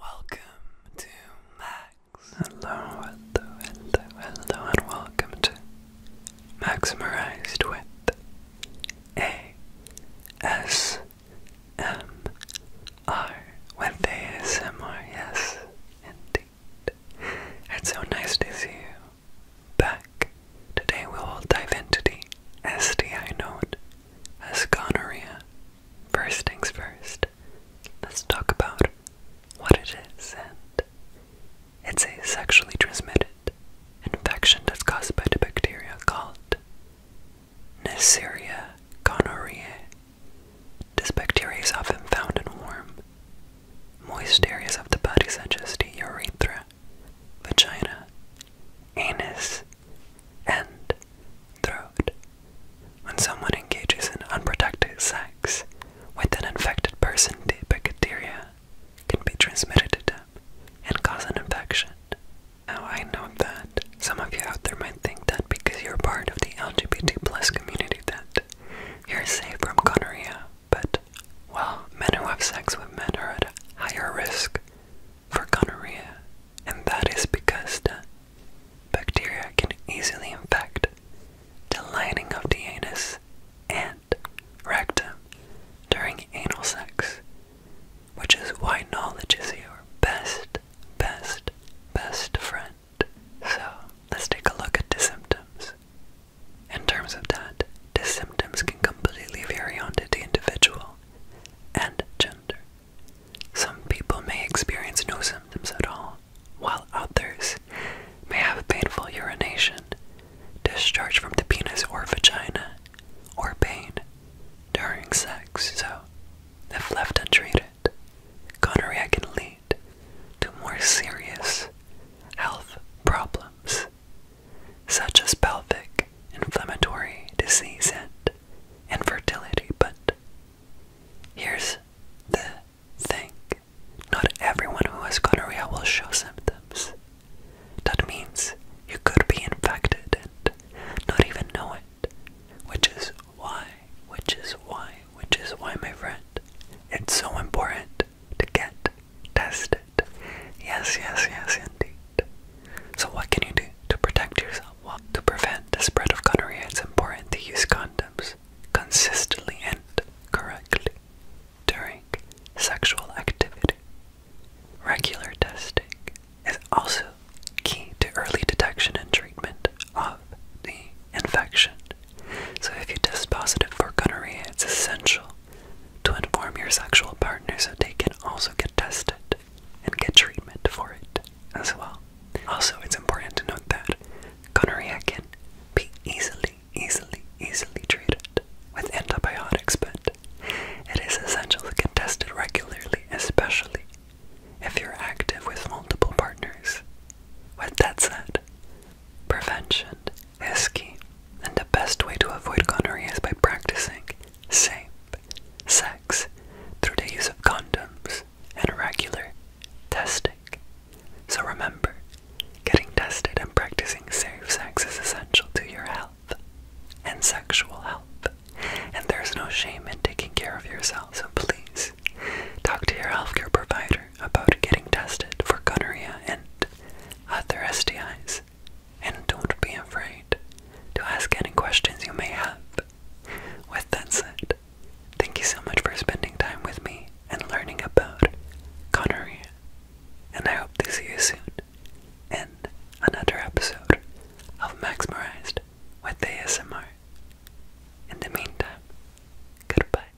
Welcome to Max. Hello, hello, hello, hello, and welcome to Maximized with A S M R with ASMR. It's so nice to see you back. Today we will dive into the STI node as gonorrhea. First things first, let's talk about what it is and it's a sexually transmitted infection that's caused by the bacteria called Neisseria gonorrhoeae. This bacteria is often found in warm, moist areas of the body such as the urethra, vagina, anus, and throat. When someone engages in unprotected sex with an infected person, the bacteria can be transmitted to them and cause an infection. Now, I know that some of you out there might think that because you're part of the LGBT plus community that you're safe from gonorrhea, but, well, men who have sex with men are at higher risk for gonorrhea, and that is because the bacteria can easily infect the lining of the anus and rectum during anal sex, which is why knowledge is your best, best, best friend. So let's take a look at the symptoms. In terms of that, the symptoms can completely vary on the individual and gender. Some people may experience no symptoms at all, while others may have painful urination, discharge from the penis or vagina, or pain during sex. So, if left untreated, gonorrhea can lead to more serious health problems such as pelvic, inflammatory disease, and infertility. But here's the thing not everyone who has gonorrhea will show symptoms. That means you could be infected and not even know it, which is why, which is why, which is why, my friend, it's so important to get tested it. Yes, yes, yes, indeed. So, what can you do to protect yourself? Well, to prevent the spread of gonorrhea, it's important to use condoms consistently and correctly during sexual activity. Regular testing is also key to early detection and treatment of the infection. So, if you test positive for gonorrhea, it's essential to inform your sexual partners so they can also get tested and get treatment for it as well. Also, it's important to note that gonorrhea can be easily, easily, easily treated with antibiotics, but it is essential to get tested regularly, especially if you're active with multiple partners. With that said, prevention Heskey, and the best way to avoid gonorrhea is by practicing safe sex through the use of condoms and regular testing. So remember, getting tested and practicing safe sex is essential to your health and sexual health. And there's no shame in taking care of yourself, so please talk to your healthcare provider about getting tested for gonorrhea and other STDs and don't be afraid to ask any questions you may have. With that said, thank you so much for spending time with me and learning about Connery. and I hope to see you soon in another episode of Maximized with ASMR. In the meantime, goodbye.